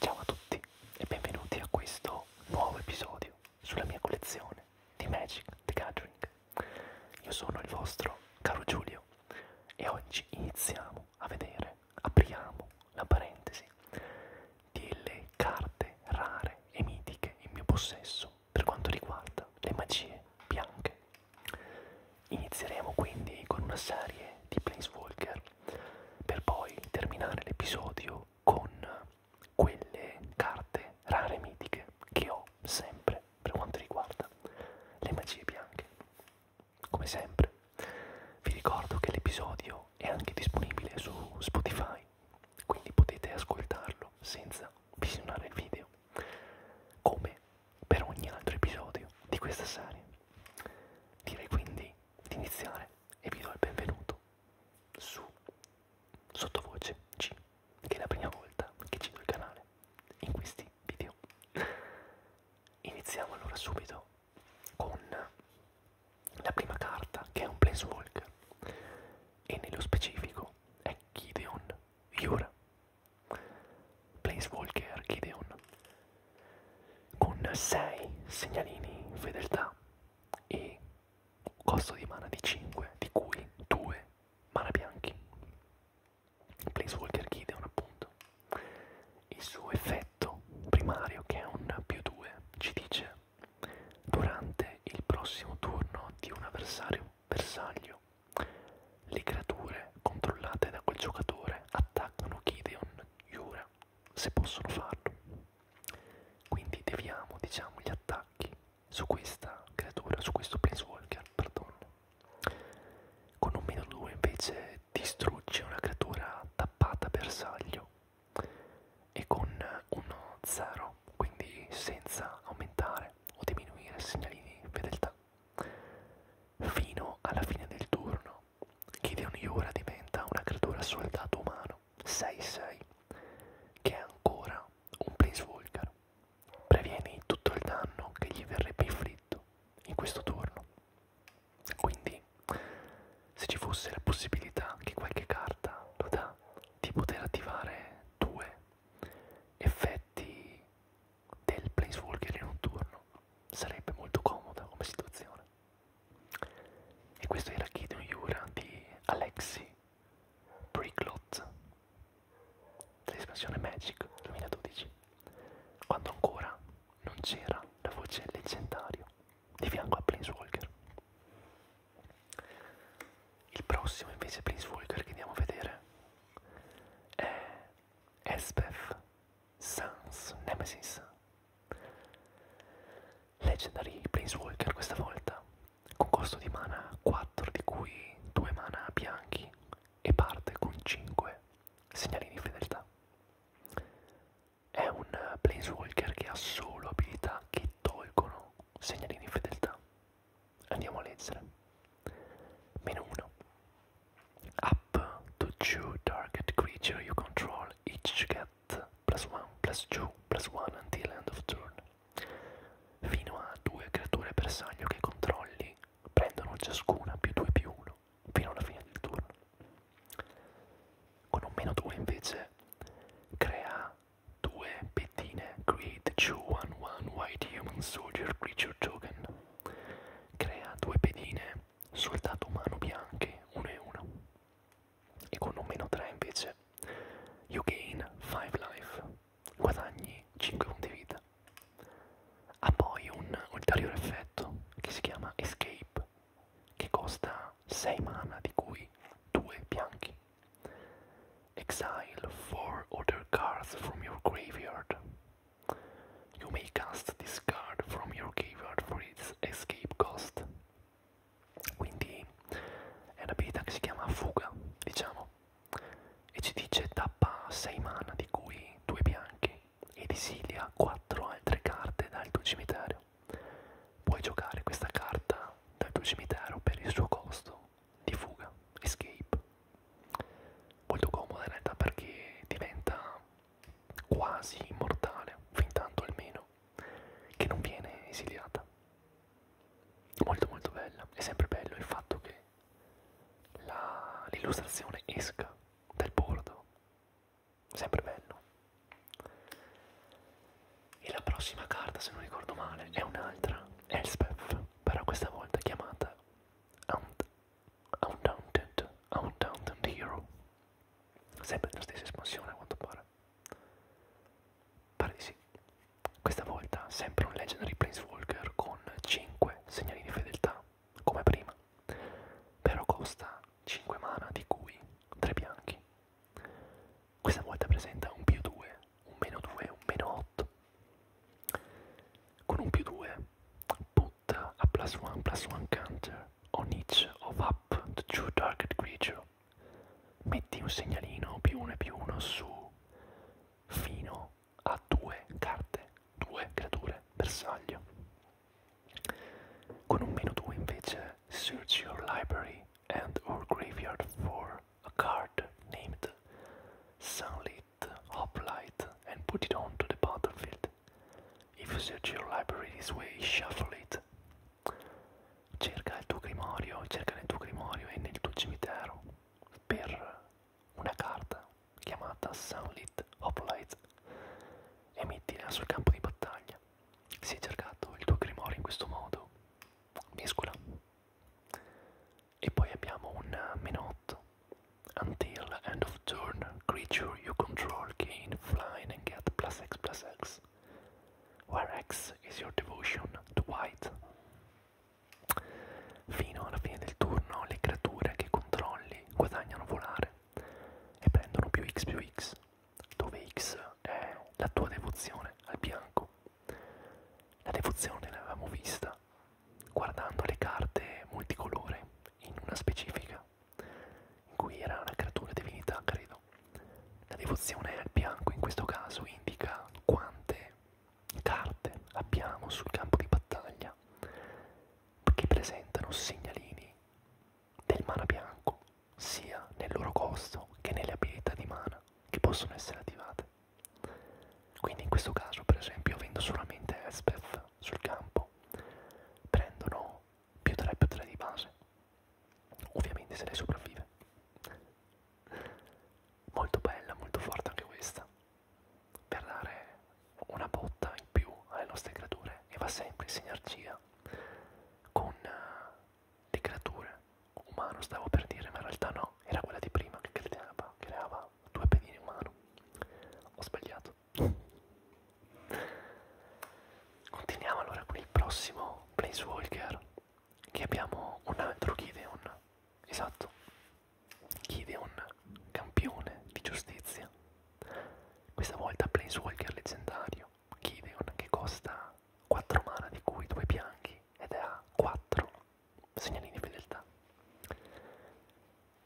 Ciao a tutti e benvenuti a questo nuovo episodio sulla mia collezione di Magic the Gathering. Io sono il vostro caro Giulio e oggi iniziamo a vedere, apriamo la parentesi delle carte rare e mitiche in mio possesso per quanto riguarda le magie bianche. Inizieremo quindi con una serie di Planeswalker per poi terminare l'episodio con quelle carte rare mitiche che ho sempre per quanto riguarda le magie bianche. Come sempre vi ricordo che l'episodio è anche disponibile su Spotify, quindi potete ascoltarlo senza visionare il video, come per ogni altro episodio di questa serie. Direi quindi di iniziare e vi do il benvenuto su Sottovoce G, che è la prima volta che ci do il canale in questi video. Iniziamo allora subito con la prima carta che è un Planeswalker e nello specifico è Gideon Yura. Planeswalker Gideon con 6 segnalini fedeltà e costo di mana di 5 di cui 2 mana bianchi Planeswalker Gideon appunto il suo effetto primario che è un più 2 ci dice durante il prossimo turno di un avversario bersaglio le creature controllate da quel giocatore attaccano Gideon Jura se possono farlo. Quindi deviamo diciamo gli attacchi su questa creatura, su questo Planeswalker, perdono. Con un meno 2 invece distrugge una creatura tappata bersaglio e con uno 0, quindi senza aumentare o diminuire segnalini fedeltà Fino alla fine del turno, Gideon Yura diventa una creatura soldato umano 6-6, che è ancora un Planeswalker. Previene tutto il danno che gli verrebbe inflitto in questo turno. Quindi, se ci fosse la possibilità che qualche carta lo dà di poter attivare due effetti del planeswalker in notturno sarebbe molto comoda come situazione e questo era Gideon Yura di Alexi Bricklot dell'espansione Magic 2012 quando ancora non c'era la voce leggendario di fianco a Planeswalker il prossimo invece Planeswalker che andiamo a vedere è Esbeth Sans Nemesis. Legendary Planeswalker questa volta, con costo di mana 4 di cui 2 mana bianchi e parte con 5 segnali di fedeltà. È un Planeswalker che ha solo abilità che tolgono segnali di fedeltà. Andiamo a leggere. Meno 1. Up to two target creature you control each get plus 1, plus 2, plus 1 until end of turn. Fino a due creature bersaglio che controlli prendono ciascuna più 2 più 1 fino alla fine del turno. Con un meno 2 invece crea due pettine Create 2-1-1 White Human Soldier Creature Token Crea due pedine sul dato umano bianche, 1 e 1. E con un meno 3 invece, you gain 5 life, guadagni 5 punti vita. Ha poi un ulteriore effetto che si chiama Escape, che costa 6 mana di cui 2 bianchi. Exile 4 other cards from your graveyard. You may cast this card from your graveyard for its escape cost. Quindi è un'abilità che si chiama fuga, diciamo, e ci dice tappa 6 mana di cui 2 bianchi ed esilia 4 altre carte dal tuo cimitero. Puoi giocare questa carta dal tuo cimitero per il suo costo di fuga, escape molto comoda in realtà perché diventa quasi immortale, fin tanto almeno, che non viene esiliata. Molto molto bella, è sempre bello il fatto che l'illustrazione esca dal bordo, sempre bello. E la prossima carta, se non ricordo male, è un'altra, Elspeth, però questa volta chiamata Aunt Undaunted, Undaunted Hero. Sempre nella stessa espansione a quanto pare. Pare di sì. Questa volta sempre un Legendary Planeswalker con 5 segnali di fedeltà, come prima. Però costa 5 mana, di cui 3 bianchi. Questa volta presenta un più 2, un meno 2, un meno 8. Con un più 2 put a plus one plus one counter on each of up to two target creature. Metti un segnalino più uno e più uno su fino a due carte, due creature bersaglio. Con un meno 2 invece search your library and or graveyard for a card named Sunlit hoplite, and put it onto the battlefield. If you search your library this way, shuffle it. Cerca il tuo grimorio, cerca nel tuo grimorio e nel tuo cimitero per una carta chiamata Sunlit Hoplite e mettila sul campo di battaglia. Se hai cercato il tuo grimorio in questo modo, mescola. E poi abbiamo un meno 8. Until end of turn, creature you control gain flying and get plus X plus X. Where X is your devotion to white. Fino alla fine del turno le creature che controlli guadagnano volare e prendono più X più X, dove X è la tua devozione al bianco. La devozione l'avevamo vista guardando le carte multicolore in una specifica, in cui era una creatura divinità, credo. La devozione al bianco in questo caso indica quante carte abbiamo sul campo di battaglia che presentano segnalini del mana bianco, sia nel loro costo che nelle abilità di mana che possono essere attivate. Quindi in questo caso per esempio avendo solamente Espeth sul campo prendono più 3 più 3 di base. Ovviamente se lei sopravvive. Molto bella, molto forte anche questa. Per dare una botta in più alle nostre creature e va sempre in sinergia con eh, le creature umano, stavo per dire, ma in realtà no, era quella di prima che creava, creava due pedine in mano. Ho sbagliato. Continuiamo allora con il prossimo Planeswalker. Che abbiamo un altro Gideon. Esatto. Gideon, campione di giustizia. Questa volta Planeswalker leggendario. Gideon che costa 4 mana di cui 2 bianchi ed è a 4 segnalini di fedeltà.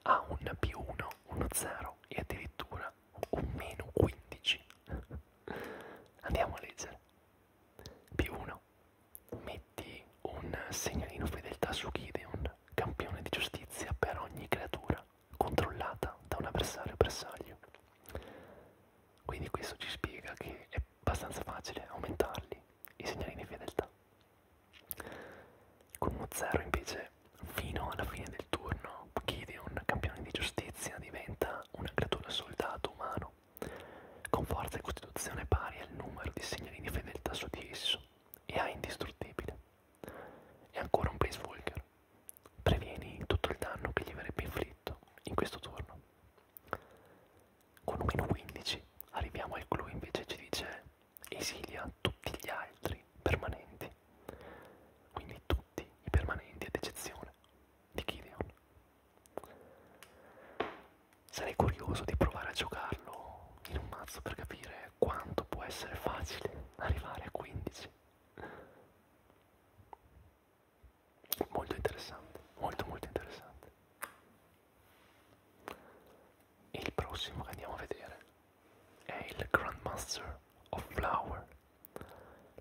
Ha un più 1, uno 0 e addirittura un meno 15. Andiamo a leggere. Più 1. Metti un segnalino fedeltà su Gideon, campione di giustizia per ogni creatura controllata da un avversario bersaglio. Quindi questo ci spiega che è abbastanza facile aumentarli i segnalini fedeltà. Con uno 0 invece, fino alla fine del turno, Gideon, campione di giustizia, diventa una creatura soldato umano, con forza e costituzione pari al numero di segnali di fedeltà su di esso, e ha indistruttibile. E ancora un Planeswalker. Previeni tutto il danno che gli verrebbe inflitto in questo turno con meno 15 arriviamo al clou invece ci dice esilia tutti gli altri permanenti quindi tutti i permanenti ad eccezione di Gideon sarei curioso di provare a giocarlo in un mazzo per capire quanto può essere facile arrivare a 15 molto interessante molto molto interessante il prossimo che andiamo a vedere è il Grandmaster of Flower,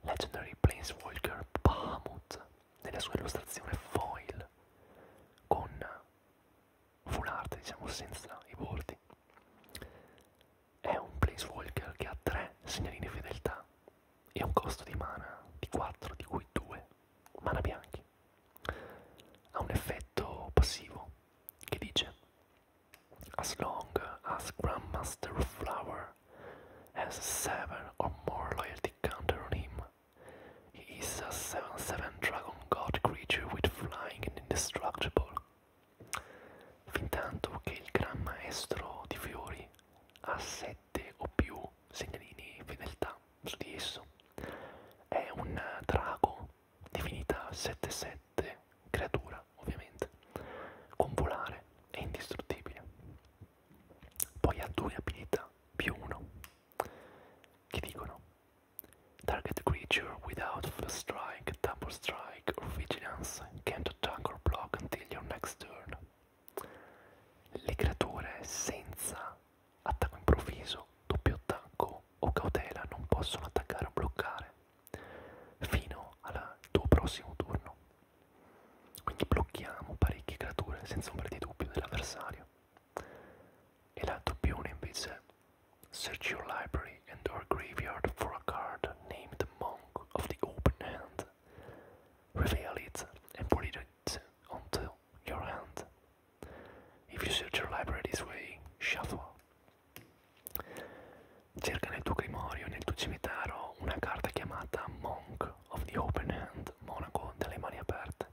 Legendary Planeswalker Bahamut, nella sua illustrazione foil, con full art, diciamo senza i bordi. È un Planeswalker che ha tre segnalini fedeltà e un costo di mana di 4, di cui 2 mana bianchi ha un effetto passivo che dice As long as Grandmaster Flower has seven or more loyalty counter on him, he is a 7-7 Dragon God creature with flying and indestructible. Fintanto che il Gran Maestro di Fiori ha 7 o più segnalini fedeltà, su di esso. È un drago, divinità 7-7, creatura ovviamente, con volare e indistruttibile. Poi ha due abilità più uno, che dicono Target creature without first strike, double strike or vigilance can't attack or block until your next turn. Le creature senza attacco improvviso, doppio attacco o cautela non possono attaccare o bloccare fino al tuo prossimo turno. Quindi blocchiamo parecchie creature senza ombra di dubbio dell'avversario. E l'altro pione invece Search your library and or graveyard for a card named Monk of the Open Hand. Reveal it and put it onto your hand. If you search your library this way, shuffle. Cerca nel tuo grimorio, nel tuo cimitero, una carta chiamata Monk of the Open Hand, monaco delle mani aperte.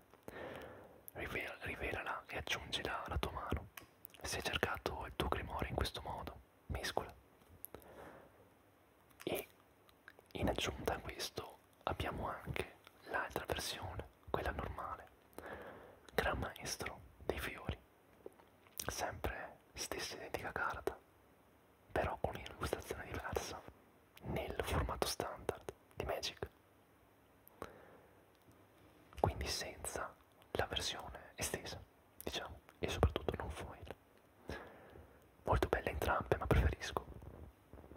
Rivel rivelala e aggiungila alla tua mano. Se hai cercato il tuo grimorio in questo modo, mescola. E in aggiunta a questo abbiamo anche l'altra versione, quella normale, Gran Maestro dei Fiori, sempre stessa identica carta, però con un'illustrazione diversa nel formato standard di Magic, quindi senza la versione estesa, diciamo, e soprattutto non foil. Molto belle entrambe, ma preferisco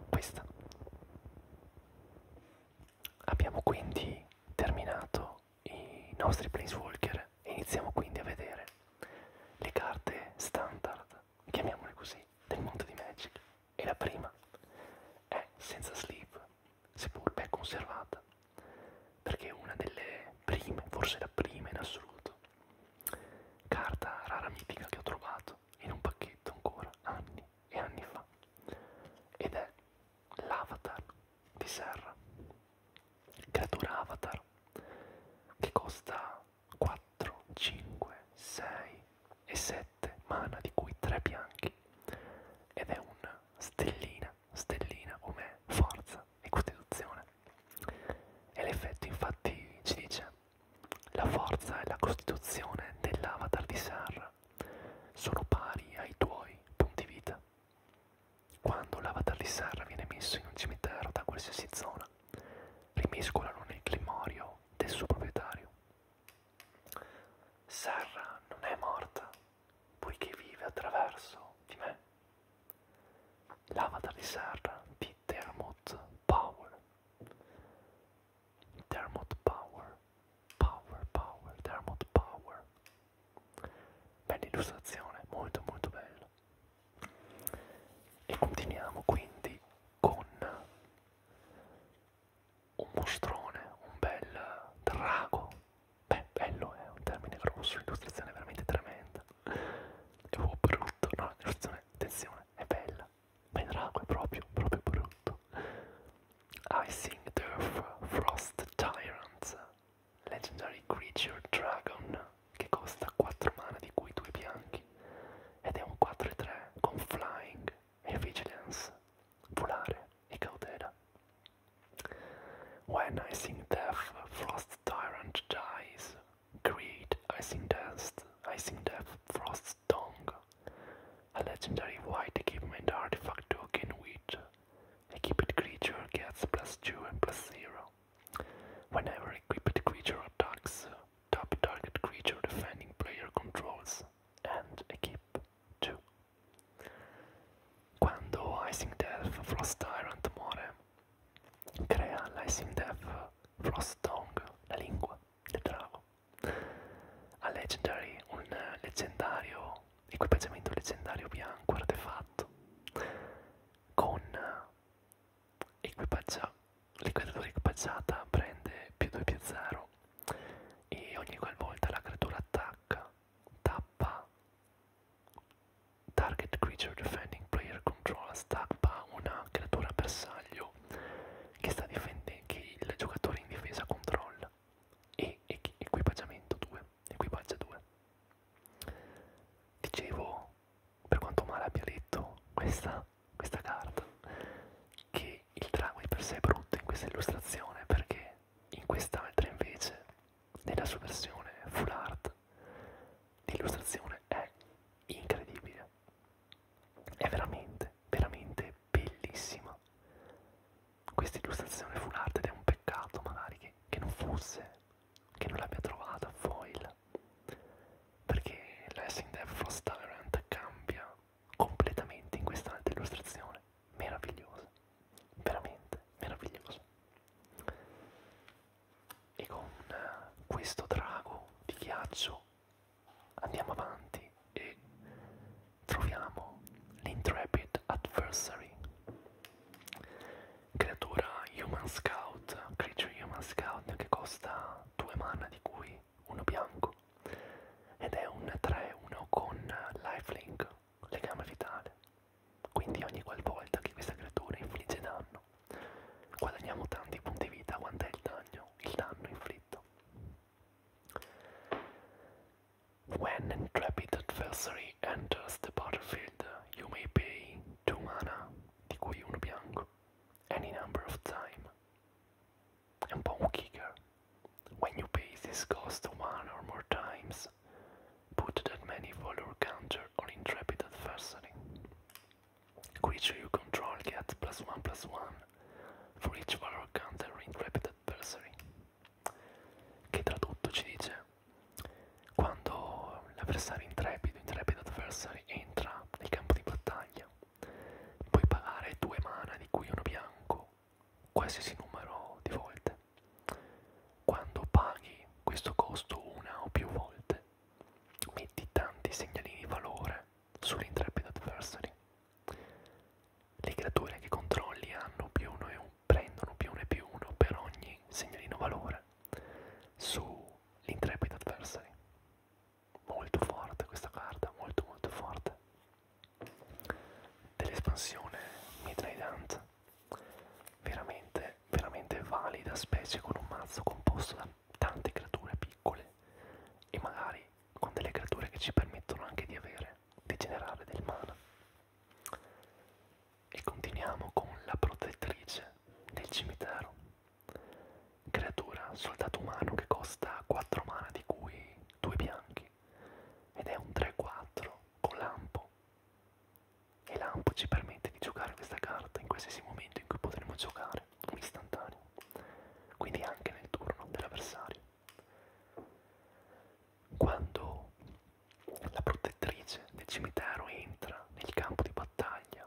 questa. Abbiamo quindi terminato i nostri Planeswalker e iniziamo quindi a vedere le carte standard, chiamiamole così, del mondo di Magic. E la prima è Senza Sleep, seppur ben conservata, perché è una delle prime, forse la prima in assoluto, carta rara mitica che ho trovato comprato in un pacchetto ancora anni e anni fa ed è l'avatar di Serra, creatura avatar che costa 4, 5, 6 e 7 mana di cui 3 bianchi ed è un stellina, stellina come forza e costituzione e l'effetto infatti ci dice la forza e la costituzione dell'avatar di Sarra sono pari ai tuoi punti vita. Quando l'avatar di Sarra viene messo in un cimitero da qualsiasi zona, rimescolano nel grimorio del suo proprietario. Sarra non è morta, poiché vive attraverso di me. L'avatar di Sarra di Termot Power. Dermot Power, Power, Power, Dermot Power. Bella illustrazione, molto molto bella. E continuiamo quindi con un mostrone, un bel drago. Beh, bello è un termine grosso, l'illustrazione è veramente tremenda. È un po' brutto, no? L'illustrazione, attenzione, è bella ma il drago è proprio, proprio brutto. Icing Turf Frost Tyrant, Legendary Creature Dragon, che costa 4 mana di cui 2 bianchi, ed è un 4-3 con Flying e Vigilance, volare e cautela. When Icing Death Frost Tyrant dies, Creed, Icing Dust, Icing Death, Frost's Tongue, a legendary white equipment artifact token which equipped creature gets plus 2 and plus 0. Whenever equipped creature attacks, top target creature defending player controls and equip 2. Quando Icing Death, Frost Tyrant Morem crea l'Icing Death, Frost Tongue, la lingua. del drago. A Legendary, un leggendario equipaggiamento leggendario bianco artefatto con equipaggia l'equatura equipaggiata prende più 2 più 0 e ogni qualvolta la creatura attacca tappa target creature defending player control stack una creatura bersaglio difensivo che, sta che il giocatore in difesa controlla e equipaggiamento 2 equipaggia 2 dicevo per quanto male abbia letto questa, questa carta che il drago di per sé è brutto in questa illustrazione perché in quest'altra invece nella sua versione full art l'illustrazione è incredibile è veramente, veramente bellissima. Questa illustrazione full art ed è un peccato magari che, che non fosse, che non l'abbia trovata foil, perché Lessing Death Frost Tyrant cambia completamente in quest'altra illustrazione. Meravigliosa, veramente meravigliosa. E con eh, questo drago di ghiaccio Andiamo avanti e troviamo l'Intrepid Adversary, creatura Human Scout, Creature Human Scout che costa 2 mana di cui uno bianco ed è un 3-1 con lifelink, legame vitale. Quindi ogni qualvolta che questa creatura infligge danno When an intrepid adversary enters the battlefield, you may pay 2 mana, di cui uno bianco, any number of times. And un kicker. When you pay this cost one or more times, put that many valor counter on intrepid adversary. Creature you control gets plus one plus one for each valor counter intrepid adversary. Che tradotto ci dice quando l'avversario intrepido, intrepid adversary, entra nel campo di battaglia, puoi pagare due mana di cui uno bianco, qualsiasi numero di volte. Quando paghi questo costo una o più volte, metti tanti segnalini di valore sull'intrepid adversary. Le creature che controlli hanno più uno e un, prendono più uno e più uno per ogni segnalino valore sull'intrepid adversary. Molto forte questa carta, molto molto forte. Dell'espansione Midnight Hunt, veramente, veramente valida specie con un mazzo composto da tante creature piccole e magari con delle creature che ci permettono anche di avere, di generare del mana. E continuiamo con la protettrice del cimitero, creatura soldato umano che costa 4 mana di cui 2 bianchi ed è un 3-4 con lampo e lampo ci permette permette di giocare questa carta in qualsiasi momento in cui potremo giocare, un istantaneo, quindi anche nel turno dell'avversario. Quando la protettrice del cimitero entra nel campo di battaglia,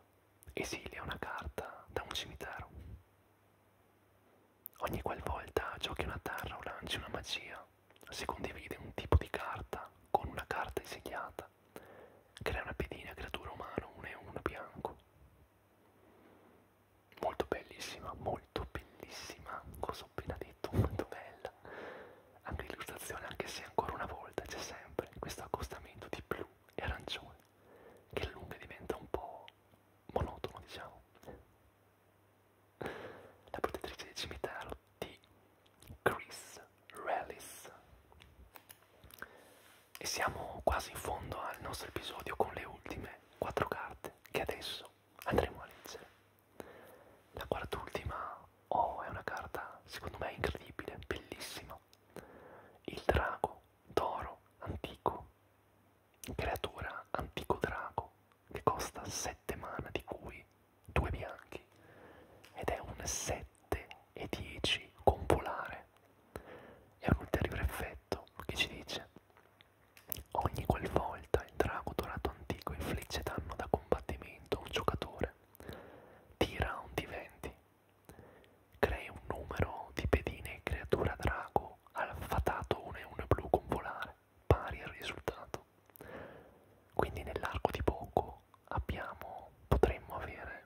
esilia una carta da un cimitero. Ogni qualvolta giochi una terra o lanci una magia, si condivide un tipo di carta con una carta esiliata Crea una pedina, creatura umana, uno e uno bianco. Molto bellissima, molto bellissima. Cosa ho appena detto, molto bella. Anche l'illustrazione, anche se ancora una volta c'è sempre questo accostamento di blu e arancione, che a lungo diventa un po' monotono, diciamo. La protettrice del cimitero di Chris Rallis. E siamo quasi in fondo al nostro episodio con le ultime quattro carte che adesso andremo a leggere. La quart'ultima, oh, è una carta secondo me incredibile, bellissima. Il drago d'oro antico, creatura antico drago che costa 7 mana di cui 2 bianchi ed è un 7 7 e 10 con polare. È un ulteriore effetto che ci dice ogni qualvolta il drago dorato antico infligge danno da combattimento a un giocatore, tira un di 20, crei un numero di pedine e creatura drago al fatato 1 e 1 blu con volare, pari al risultato. Quindi nell'arco di poco abbiamo, potremmo avere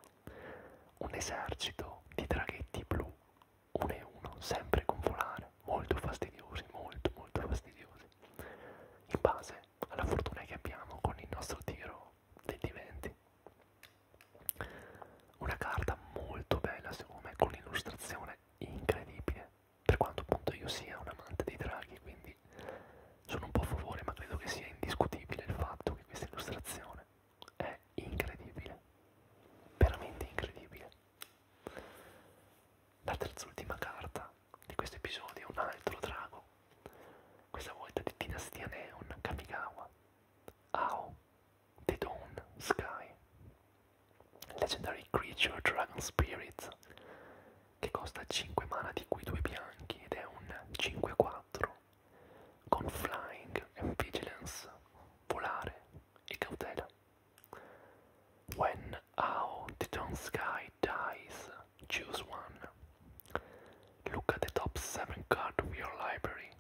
un esercito di draghetti blu, uno e uno, sempre con volare, molto fastidiosi, molto molto fastidiosi, in base alla fortuna che abbiamo con il nostro tiro dei diventi. Una carta molto bella secondo me, con un'illustrazione incredibile, per quanto appunto io sia un amante dei draghi, quindi sono un po' a favore, ma credo che sia indiscutibile il fatto che questa illustrazione è incredibile, veramente incredibile. La terz'ultima carta di questo episodio è un altro drago, questa volta di Dinastia Neon Kamigawa, Ao, The Dawn Sky, Legendary Creature Dragon Spirit, che costa 5 mana di cui 2 bianchi chiede un 5-4 con flying vigilance, volare e cautela. When out the sky dies, choose one. Look at the top 7 card of your library.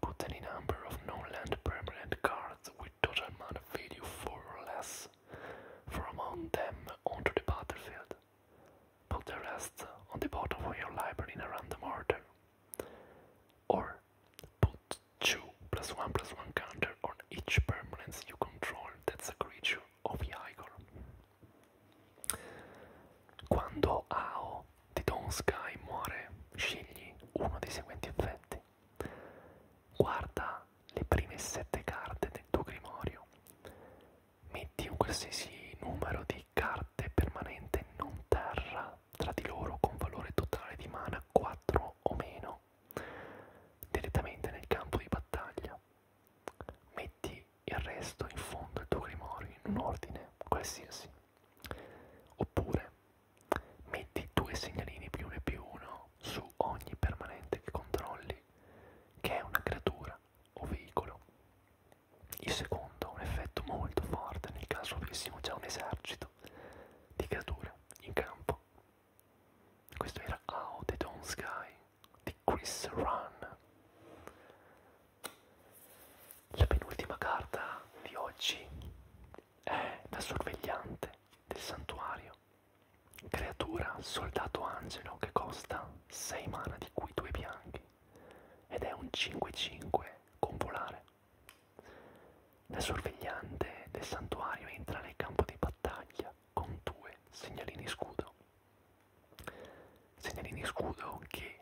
Put any number of non-land permanent cards with total mana value 4 or less from among them onto the battlefield. Put the rest on the bottom of your library in a random order. Or put 2 plus 1 plus 1 counter on each permanence you control that's a creature of Igor. Quando Ao di Dawn Sky muore, scegli uno dei seguenti effetti. Guarda le prime sette carte del tuo grimorio. metti un qualsiasi numero di carte permanente non terra tra di loro con valore totale di mana 4 o meno direttamente nel campo di battaglia. Metti il resto in fondo al tuo grimorio in un ordine qualsiasi. Oppure metti due segnalini più 1 e più 1 su ogni permanente che controlli che è una creatura o veicolo. Il secondo ha un effetto molto forte nel caso avessimo già un esercito di creature in campo. Questo era Out the Dawn Sky di Chris Run. La penultima carta di oggi è la sorvegliante del santuario, creatura soldato angelo che costa 6 mana di cui 2 bianchi ed è un 5-5 con volare. La sorvegliante del santuario entra nel campo di battaglia con due segnalini scudo. Segnalini scudo che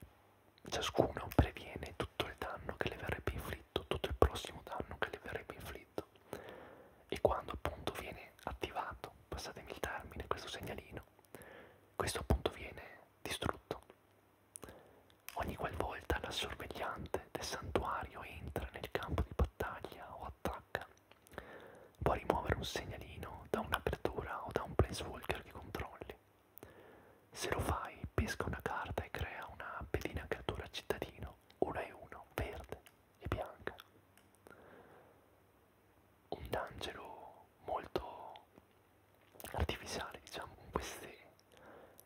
ciascuno previene tutto il danno che le verrebbe inflitto, tutto il prossimo danno che le verrebbe inflitto. E quando appunto viene attivato, passatemi il termine, questo segnalino, questo appunto viene distrutto. Ogni qualvolta la sorvegliante del santuario entra nel campo di battaglia o attacca, può rimuovere un segnalino da un'apertura o da un planeswalker che controlli. Se lo fai, pesca una carta e crea una pedina creatura cittadino 1 e 1, verde e bianca un angelo molto artificiale, diciamo, con queste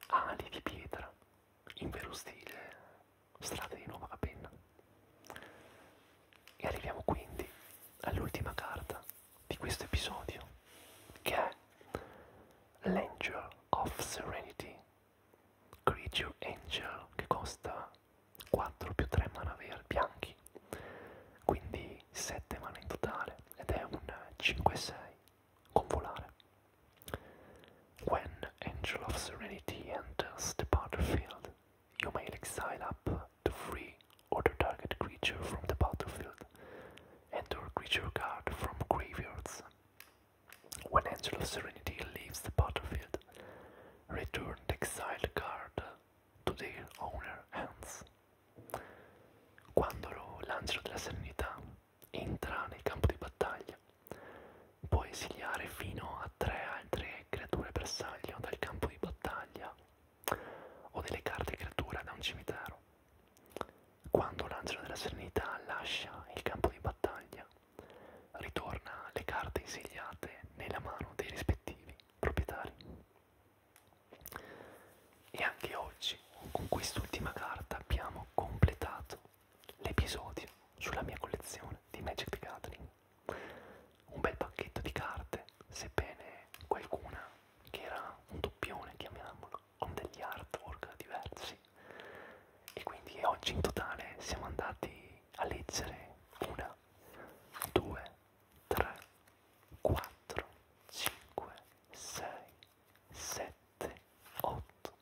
ali di pietra, in vero stile strade di Nuova Capenna. E arriviamo quindi all'ultima carta di questo episodio, che è l'Angel of Serenity, Creature Angel, che costa When Angel of Serenity enters the battlefield, you may exile up to free or target creature from the battlefield and your creature card from graveyards. When Angel of Serenity leaves the battlefield, return the exiled card to their owner hands. Quando l'angelo della serenità entra nel campo di battaglia, può esiliare fino a tre altre creature bersaglio dal campo di battaglia o delle carte creatura da un cimitero. Quando l'angelo della serenità lascia il campo di battaglia, ritorna le carte esiliate nella mano dei rispettivi nuovi proprietari. E anche oggi, con quest'ultima carta, abbiamo completato l'episodio sulla mia collezione di Magic the Gathering. Un bel pacchetto di carte, sebbene qualcuna che era un doppione, chiamiamolo, con degli artwork diversi. E quindi oggi in totale siamo andati a leggere una, due, tre, quattro, cinque, sei, sette, otto,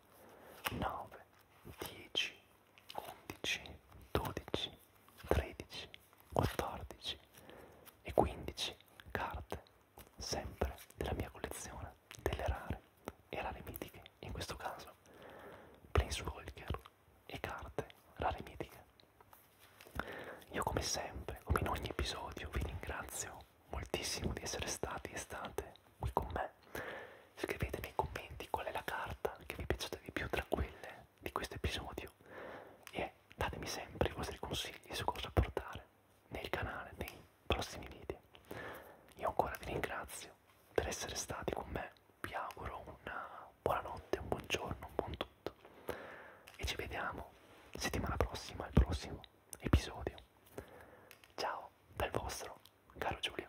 nove, dieci, undici, dodici, tredici, quattordici e quindici carte, sempre della mia collezione delle rare e rare mitiche, in questo caso Planeswalker e carte rare mitiche. Io come sempre, come in ogni episodio, vi ringrazio moltissimo di essere stati e state qui con me. Scrivete nei commenti qual è la carta che vi è piaciuta di più tra quelle di questo episodio e datemi sempre i vostri consigli su cosa portare nel canale nei prossimi video. Io ancora vi ringrazio spazio, per essere stati con me. Vi auguro una buonanotte, un buongiorno, un buon tutto. E ci vediamo settimana prossima, al prossimo episodio. Ciao dal vostro caro Giulio.